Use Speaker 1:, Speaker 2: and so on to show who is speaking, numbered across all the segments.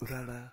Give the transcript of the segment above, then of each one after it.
Speaker 1: うらら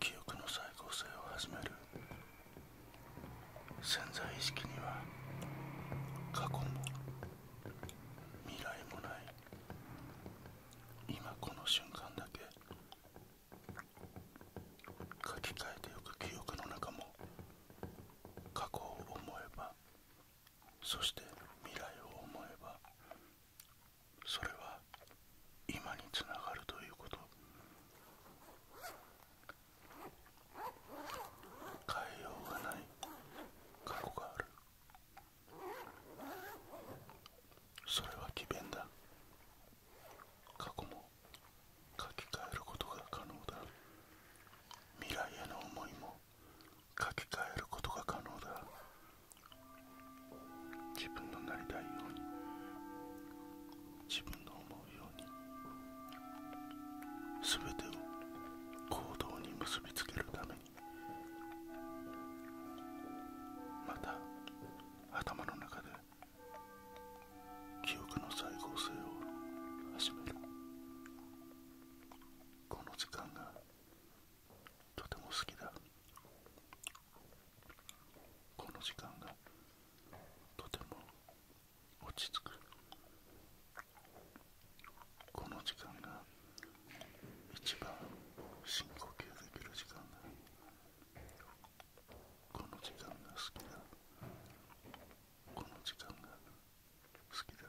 Speaker 1: 記憶の再構成を始める潜在意識には過去も未来もない今この瞬間だけ書き換えておく記憶の中も過去を思えばそして未来を思えばそれは今につながるということ変えようがない過去があるそれは詭弁だ過去も書き換えることが可能だ未来への思いも書き換えることが可能だ自分のなりたいように自分の思うように全てを行動に結びつけるためにまた頭の中で記憶の再合成を始めるこの時間がとても好きだこの時間がとても落ち着くこの時間が一番深呼吸できる時間が。この時間が好きだこの時間が好きだ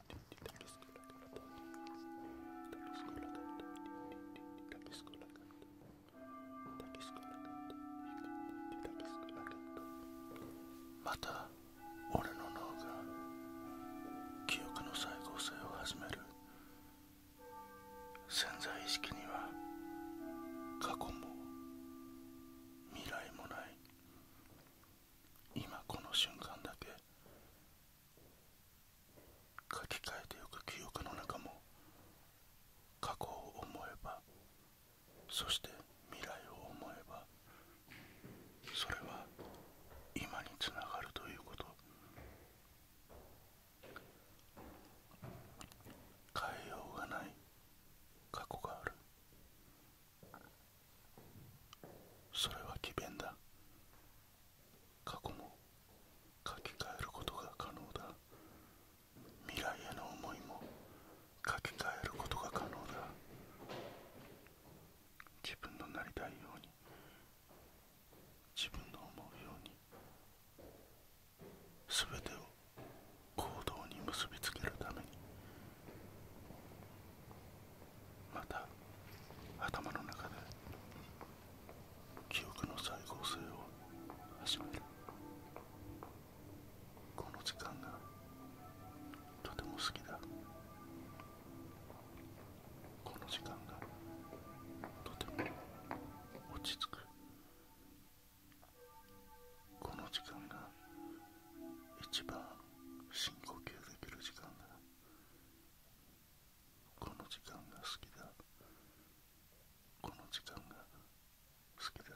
Speaker 1: また俺の脳が記憶の再構成を始める潜在意識には過去も未来もない今この瞬間だけ書き換えてゆく記憶の中も過去を思えばそして未来を思えばそれは今につながるということ変えようがない過去があるそれは詭弁だ過去も書き換えることが可能だ未来への思いも書き換えることが可能だ自分のなりたいように自分の思うように全てを行動に結びつけるためにまた頭の中で記憶の再合成を始めるこの時間がとても好きだこの時間がとても落ち着くこの時間が一番深呼吸できる時間だこの時間が好きだこの時間が好きだ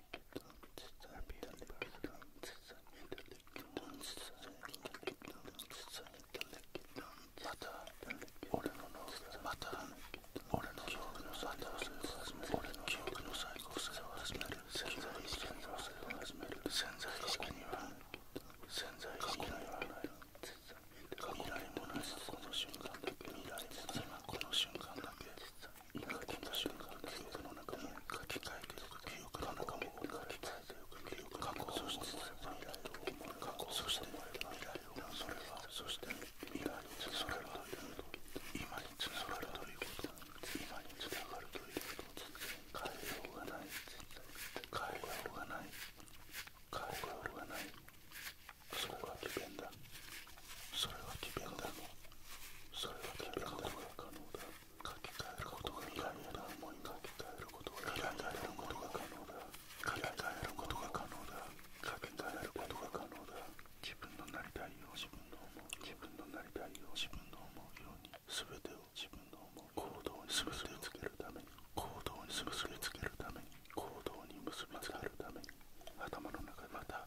Speaker 1: 俺の脳がまた俺の勝負の最高性を始める俺の勝負の最高性を始める潜在意識の要請を始める潜在意識には潜在意識にはない過去もないこの瞬間だけ未来今この瞬間だけかけた瞬間記憶の中も書き換えていく記憶の中も書き換えていく記憶過去そして未来と思う過去そして未来それはそして未来それは今につながるということ今につながるということ変えようがない変えようがない変えようがないそれは危険だそれは奇弁だろそれは奇ることう可能だ書き換えることが未来への思い書き換えることが未来へのことが可能だ書き換えることが可能だ書き換えることが可能だ自分のなりたいよう自分の思う自分のなりたいよう自分の思うように全てを自分の思う行動に全てりつけるために行動に結りつけるために行動に結びつけるために頭の中でまた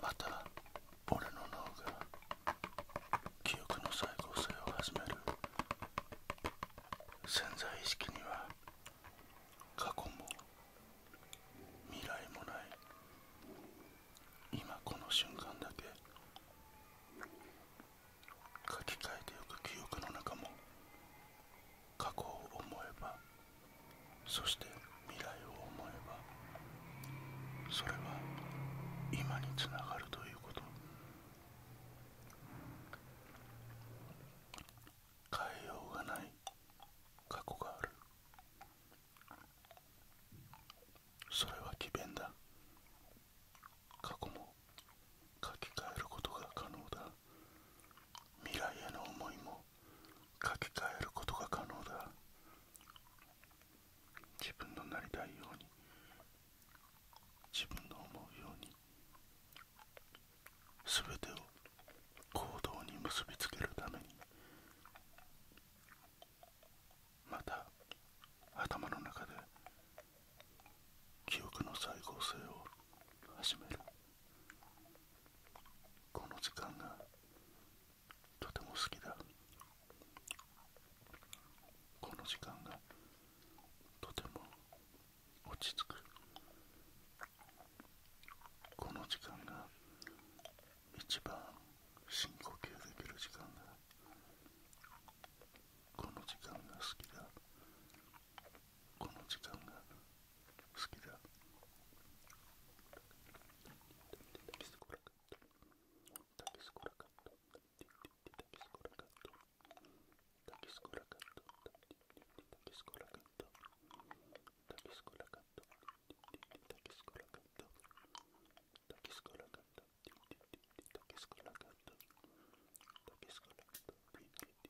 Speaker 1: また俺の脳が記憶の再構成を始める潜在意識には過去も未来もない今この瞬間だけ書き換えてゆく記憶の中も過去を思えばそして未来を思えばそれは今につながるということ変えようがない過去があるそれは詭弁だ過去も書き換えることが可能だ未来への思いも書き換えることが可能だ自分のなりたいように自分の思うように全てを行動に結びつけるためにまた頭の中で記憶の再合成を始める。この時間がとても好きだこの時間がとても落ち着くこの時間が一番深呼吸できる時間が。この時間が好きだこの時間が好きだ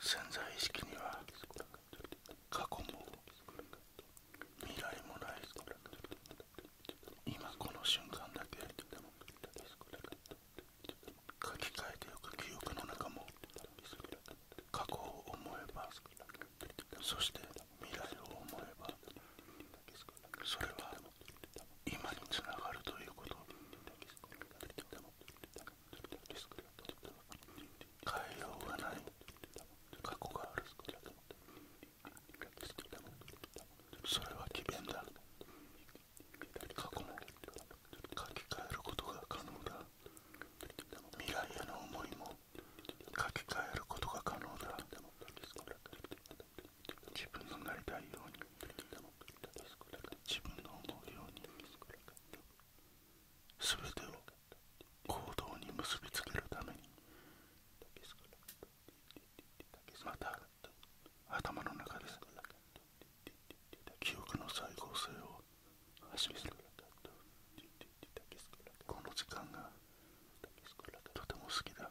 Speaker 1: 潜在意識には過去も未来もない今この瞬間だけ書き換えておく記憶の中も過去を思えばそして未来を思えばそれは今につながるということ変えようがない過去があるそれは危険だ過去も書き換えることが可能だ未来への思いも書き換えることが可能だ自分のなりたいように自分の思うように全てを行動に結びつけるためにまた頭の中で記憶の再合成を始めるこの時間がとても好きだ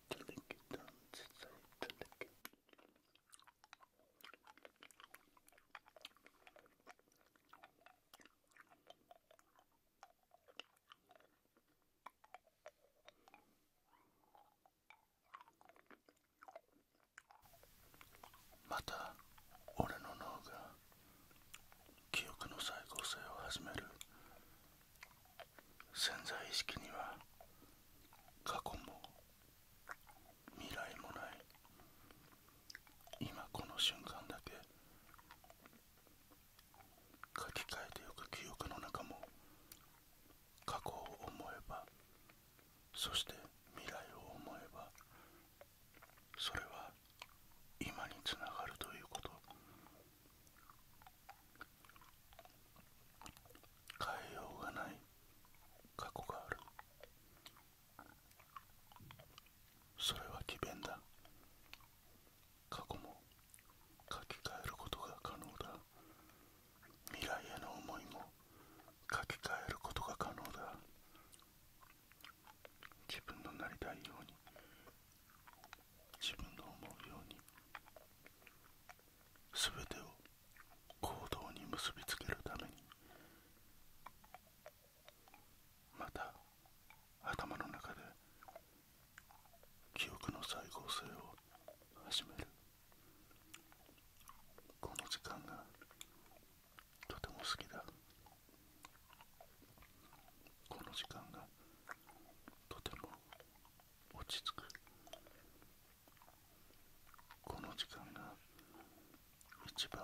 Speaker 1: また俺の脳が記憶の再構成を始める潜在意識には過去も未来もない今この瞬間だけ書き換えてゆく記憶の中も過去を思えばそして未来を思えばそれは今につながるということ変えようがない過去があるそれは詭弁だ過去も書き換えることが可能だ未来への思いも書き換えることが可能だ自分のなりたいように自分の思うように全てを行動に結びつけるためにまた頭の中で記憶の再合成を始めるこの時間がとても好きだこの時間がとても落ち着くこの時間が一番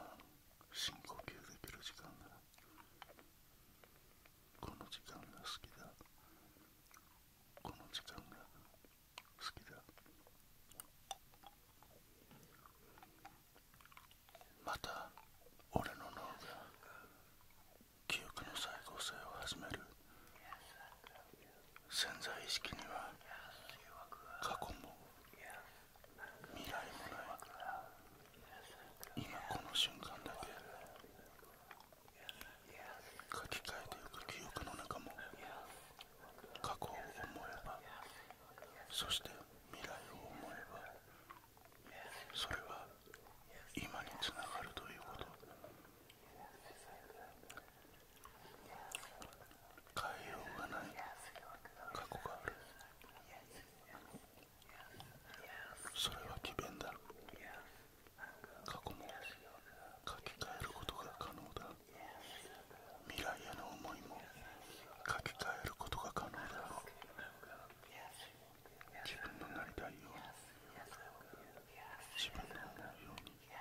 Speaker 1: 深呼吸できる時間だこの時間が好きだこの時間が好きだまた俺の脳が記憶の再構成を始める潜在意識には過去も未来もない今この瞬間だけ書き換えてゆく記憶の中も過去を思えばそして未来を思えばそれは今につながるということ変えようがない過去があるそれは奇弁だ過去も書き換えることが可能だ未来への思いも書き換えることが可能だ自分のなりたいように自分の思うように全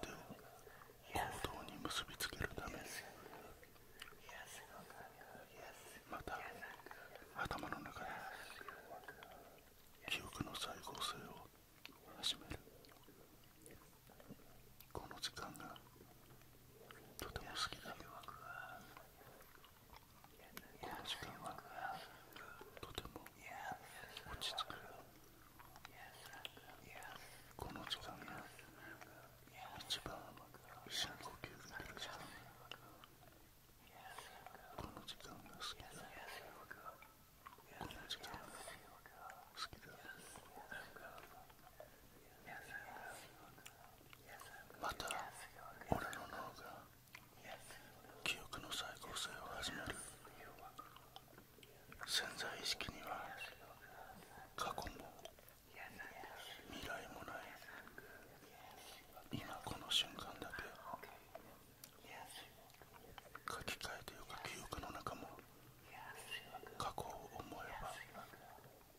Speaker 1: てを行動に結びつけるためにまた頭の中で記憶の再構成を始めるこの時間がとても好きだこの時間はとても落ち着くこの時間が一番深呼吸がでる時間この時間が好きだこの時間が好きだまた俺の脳が記憶の再構成を始める潜在意識には過去も未来もない今この瞬間だけ書き換えてゆく記憶の中も過去を思えば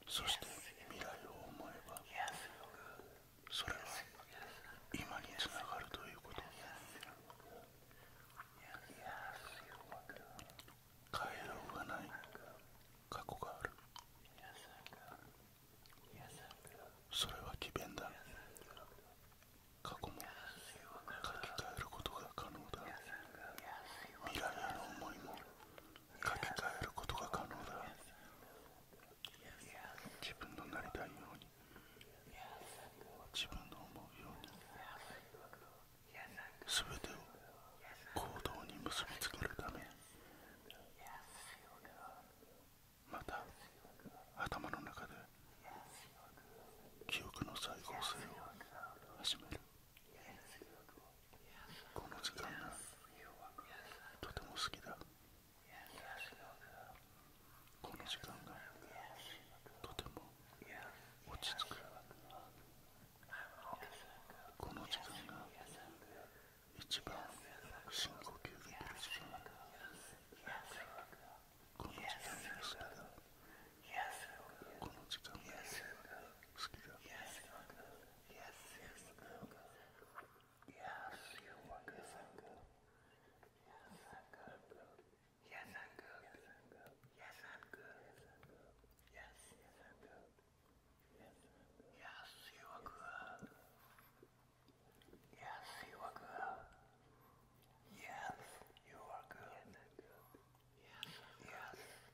Speaker 1: そして未来を思えばそれは今につながるということ変えようがない過去があるそれは詭弁だ過去も書き換えることが可能だ未来への思いも書き換えることが可能だ自分のなりたいように自分の思うようにすべてを行動に結びつけるためまた頭の中で記憶の再合成を始めるこの時間がとても好きだこの時間がとても落ち着くこの時間が一番深呼吸できる時間この時間が好きだこの時間が好きだ Yes, you are good. Yes, I'm good. Yes, I'm good. Yes, I'm good. Yes, I'm good. Yes, I'm good. Yes, you are good. Yes, you are good. Yes, you are good. yes.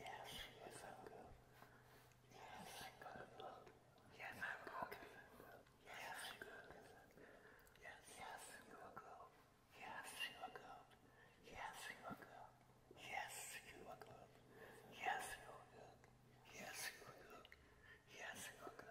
Speaker 1: Yes, yes, i good. Yes, I'm good. Yes, I'm good. Yes, I'm good. Yes, you are good. Yes, you are good. Yes, you are good. Yes, you are good. Yes, you are good. Yes, you are good. Yes, you are good. Yes, you are good. Yes, you are good. Yes, I'm good.